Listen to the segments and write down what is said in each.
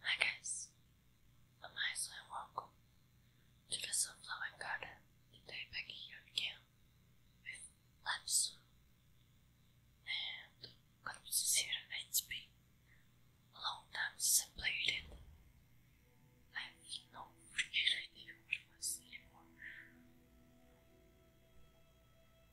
Hi guys, I'm Isla and welcome to the Sunflower Garden. Today back here again with Lapsu and I'm gonna be A long time since I played it. I have no freaking idea what it anymore.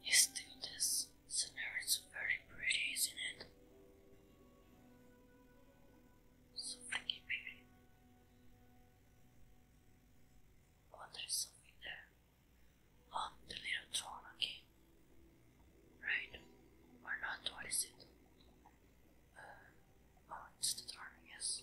He's still this scenario It's very pretty, isn't it? So pretty. Oh, there is something there. oh, the little throne Right? Or not, what is it? Uh, oh, it's the throne, yes.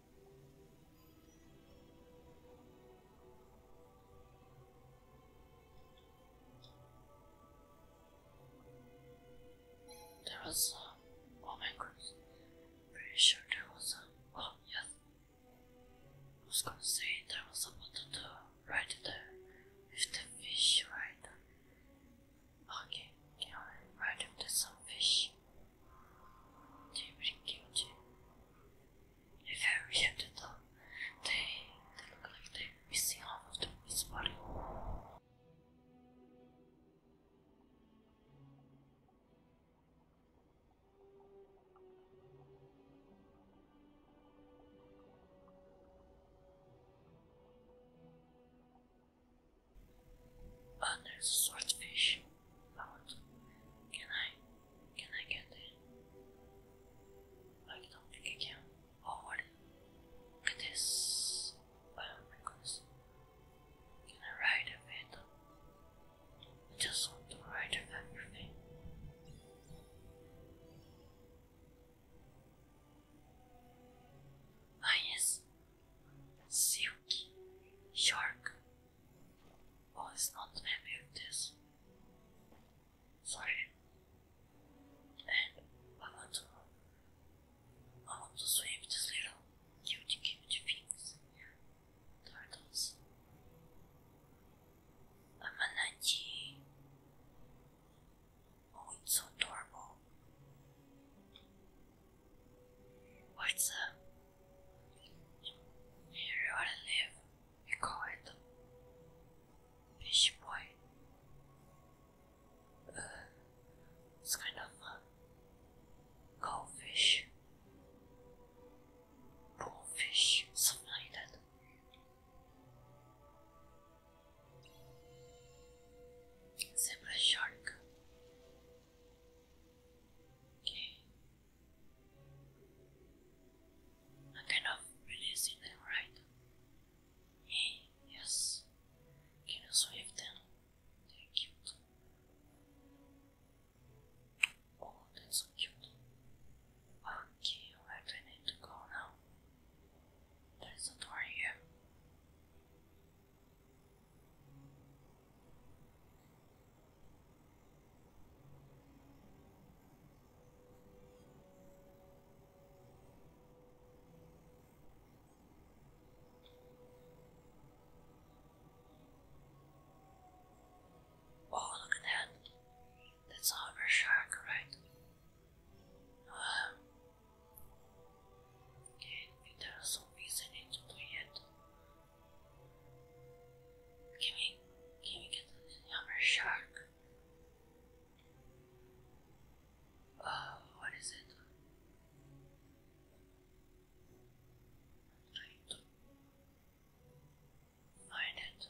There was a oh my goodness. I'm pretty sure there was a oh yes. I was gonna say there was a button to right there with the fish right. Okay, okay, alright, right if there's some fish they really If I reacted them, they, they look like they missing half of the his body. But oh, swordfish Can I? Can I get it? I don't think I can. Oh, this. Oh my Can I ride a bit? I just want to ride of everything. Ah yes, silky shark. Oh, it's not happy with this. Sorry. And I want to, I want to save these little cutie cutie things. Turtles. A manatee. Oh, it's so adorable. What's oh, Everyone live, we call it Fish Boy. it's kind of a goldfish, bullfish, something like that. Zebra shark. Okay. I'm kind of releasing them, right? Hey, yes. Can you sweep them? They're cute. Oh, that's so cute. Okay, where do I need to go now? There's a door here. Oh, look at that. That's a harbor shark, right? Uh, and there are some reasons to play it. Can we, can we get another shark? Oh, what is it? I'm find it.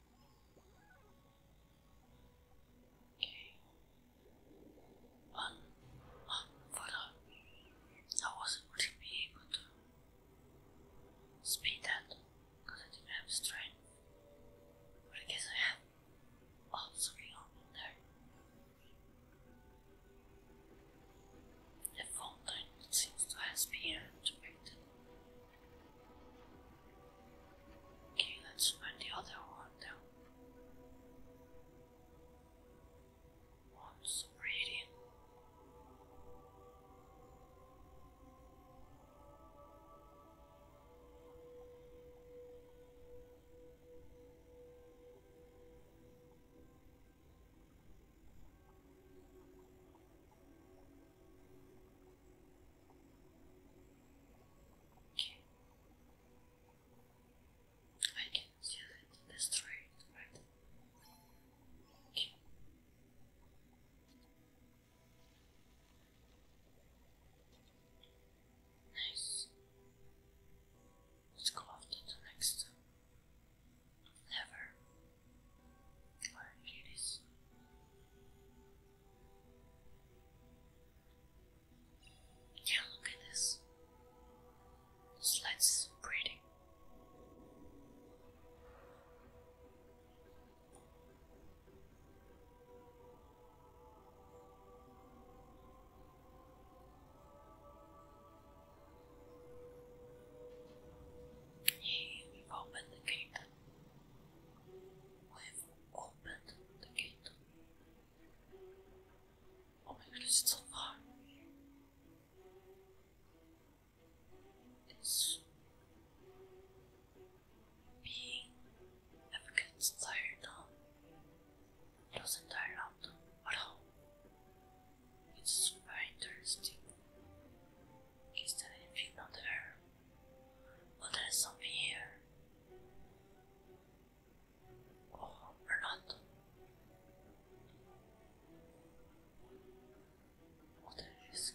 Um, um, I wasn't really able to speed that because I didn't have strength. But I guess I have oh something up in there. The fountain seems to have speed been activated. Okay, let's find the other one now. What's reading? Okay. I can still it, right? Nice. Let's go after the next lever. Or Eunice. Yeah, look at this. This light's so pretty. Hey, we've opened the gate. I've opened the gate. Oh my goodness, it's so far. It's being never gets now. It doesn't tire out at all. It's very interesting. Is there anything on the air? Oh, oh, there is something here. or not. Oh, that is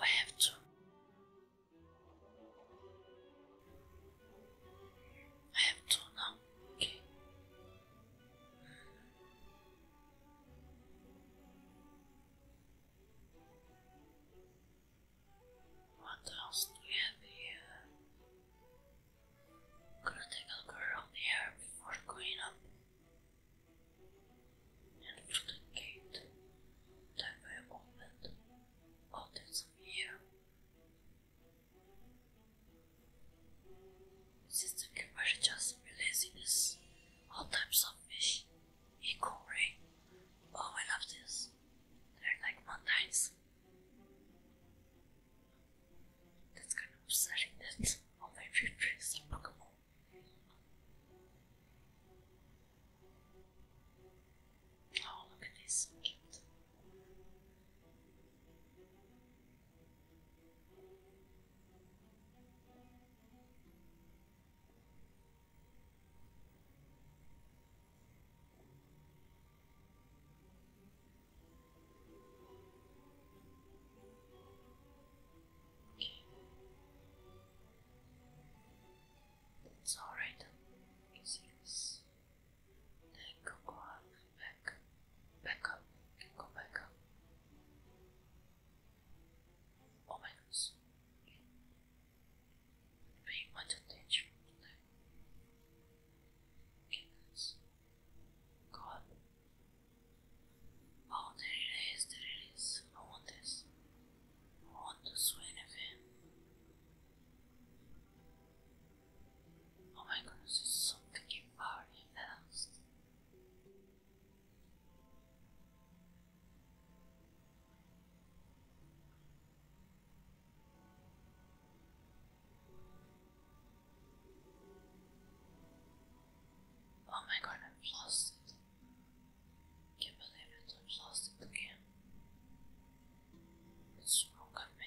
I have to I have two now. Okay. Hmm. What else do we have here? gonna take a look here before going up and through the gate that I opened others of you. The system can just laziness, all types of fish, equally. Oh, I love this. They're like mountains. That's kind of upsetting that all my favorites are Pokemon. Oh, look at this, cute. It's alright, Isis. Then go, back, back up, go back up. Oh my goodness. Paying attention to Oh, there it is, there it is. I want this want to swing Oh my goodness, it's so freaking far and Oh my god, I've lost it. Can't believe it, I'm lost again. What's wrong with me?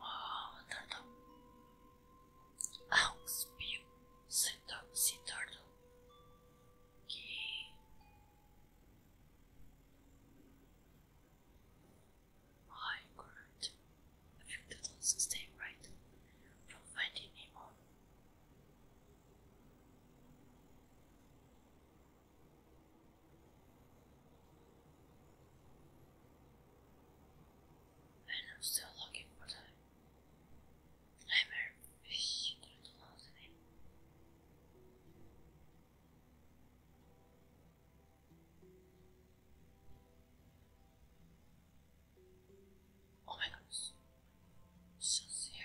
ああ、なんだ。あ、スピン、センター、センターだ。ギー。はい、correct. I think that doesn't stay right. From finding him on. I'm still looking for the nightmare fish through the lost name. Oh my goodness. Just here.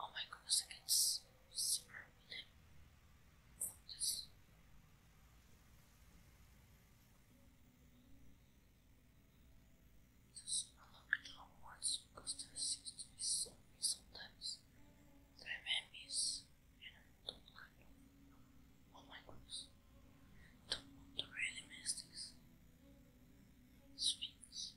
Oh my goodness! against Super Limb Focus. Just unlock downwards because there seems to be sometimes that I and I oh my goals. Don't really miss this. Sphinx.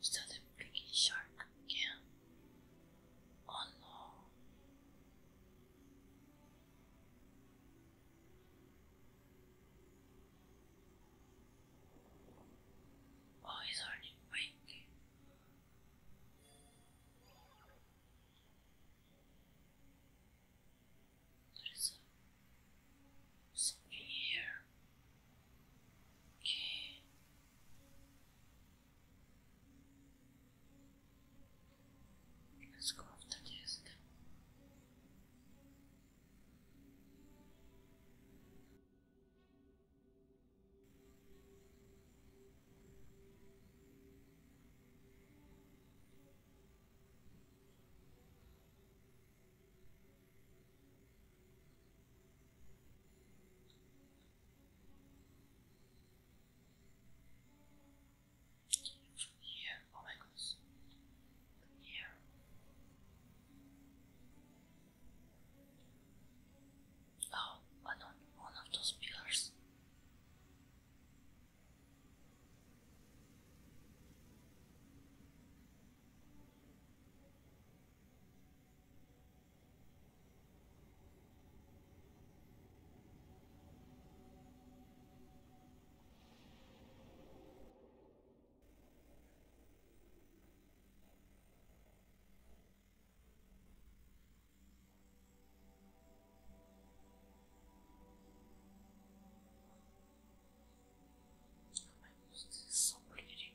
So the greedy shark began. Oh no. Oh, he's already awake. There's a, something here. Okay. Let's go after this. From oh my God. From here. Oh, one of those pillars. I oh use this so bleeding.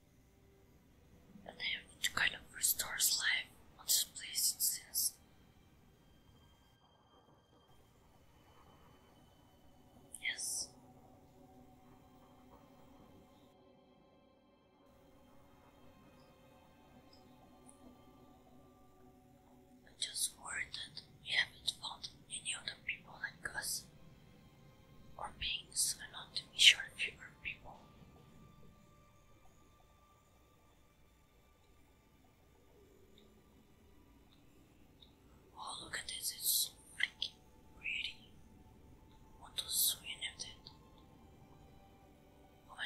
And then it kind of restores life on this place since Yes. I'm just worried that we haven't found any other people like us or beings allowed to measure fewer people. Oh, look at this, it's so freaking pretty. What was so of that? Oh my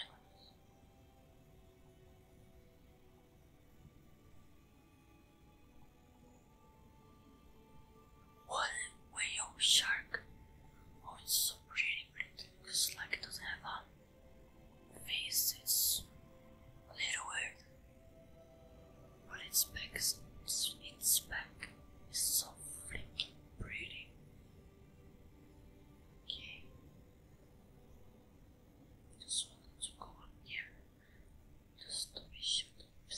what whale shark? Oh, it's so pretty, but it looks like it doesn't have a face. It's a little weird, but its back its back is so freaking pretty. Okay, just wanted to go on here just to be sure that I'm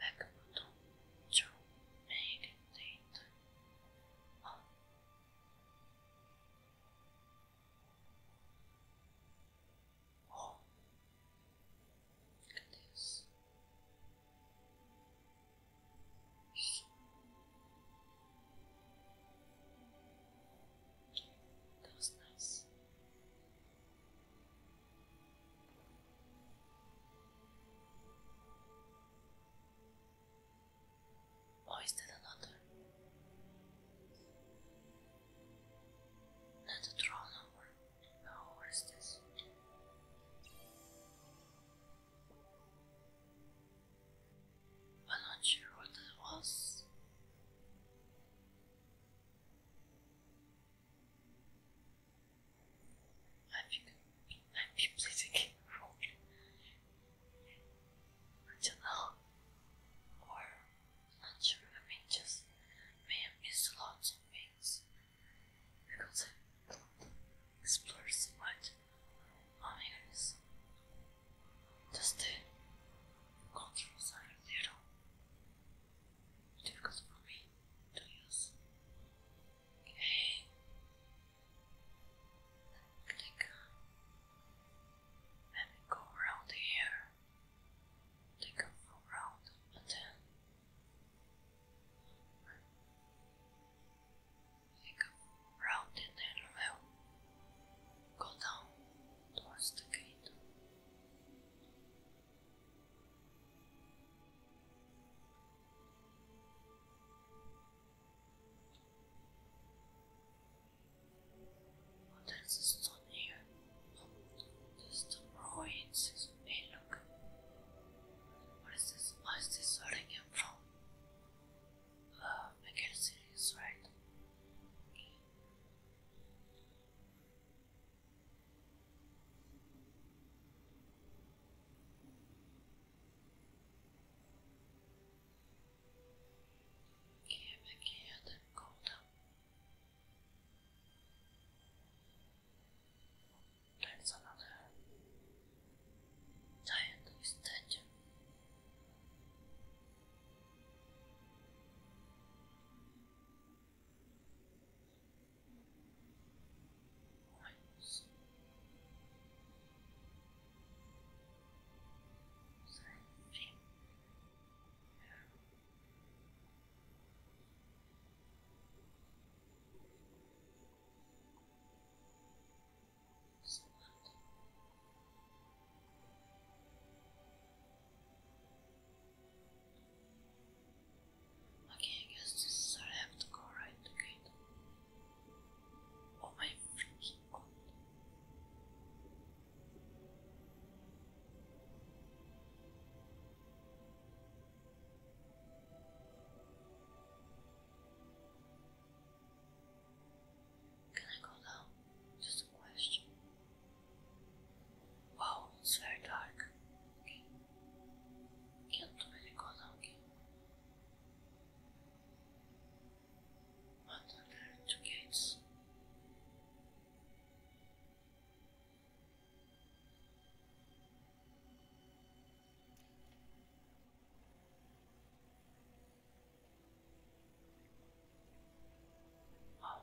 backbone to meditate on. Oh, look at this. So, that was nice. Or is that another? Not a draw this? I'm not sure what that was. I've been, I've been placing it wrong. I don't know. Or, not sure, I mean, just may have missed lots of things. Because I don't explore so much. I mean, it's just the control side of the room. Difficult for me to use. Okay. Click Let me go around here. Take a full round and then take a full round and then we go down towards the gate. What else is here? Just the ruins. Hey, look. What is this? Where is this where from? Uh, I can see this, right? Gebe geri koydum. Ben sana da dayandım istedim. Once. Something. Something. Something. Okay, I guess this is I have to go right to Oh my freaking Can I go down? Just a question. Wow, it's very dark. Okay. Can't really go down What are there two gates? Wow,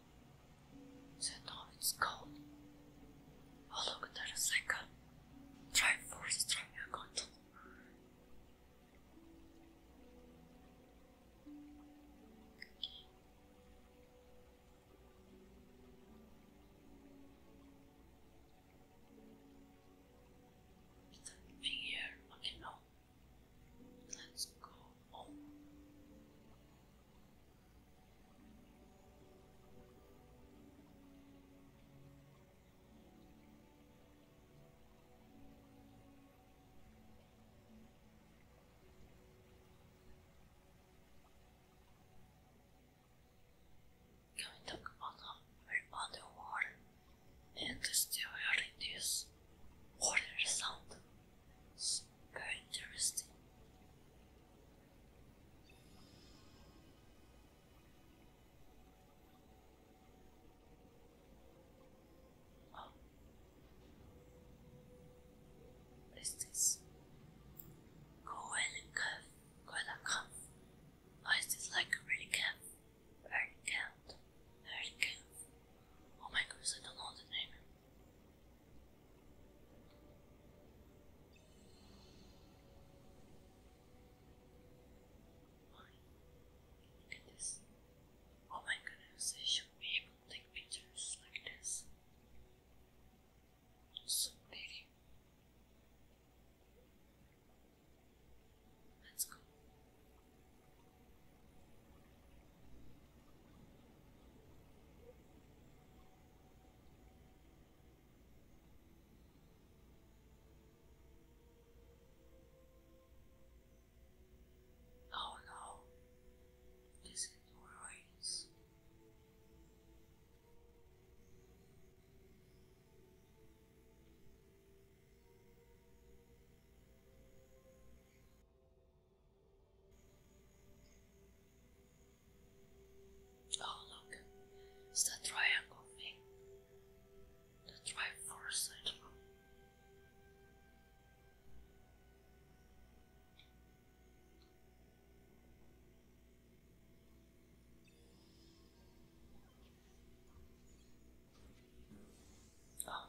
So now it's cold. Oh look, there is like a Triforce Triangle. Is that Let's go home. Can we talk about how we're and still hearing water sound? It's quite interesting. Oh. What is this? Go and Why is this like a really calf? Very cat. Very calf. Oh my goodness, I don't know the name. Why? Look at this. Oh my goodness, I should be able to take pictures like this. so pretty. Let's go. Oh no, this is ruins. Oh, look, it's the triangle thing. The triforce, I know. Oh,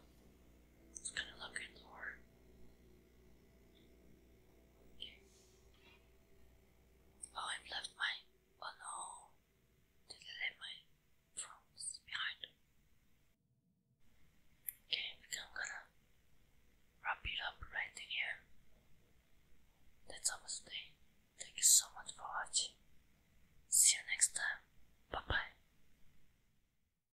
it's gonna look in Oh, I've left my. Oh no! Did I leave my phones behind? Okay, I'm gonna wrap it up right here. That's all for today. Thank you so much for watching. See you next time. Bye bye.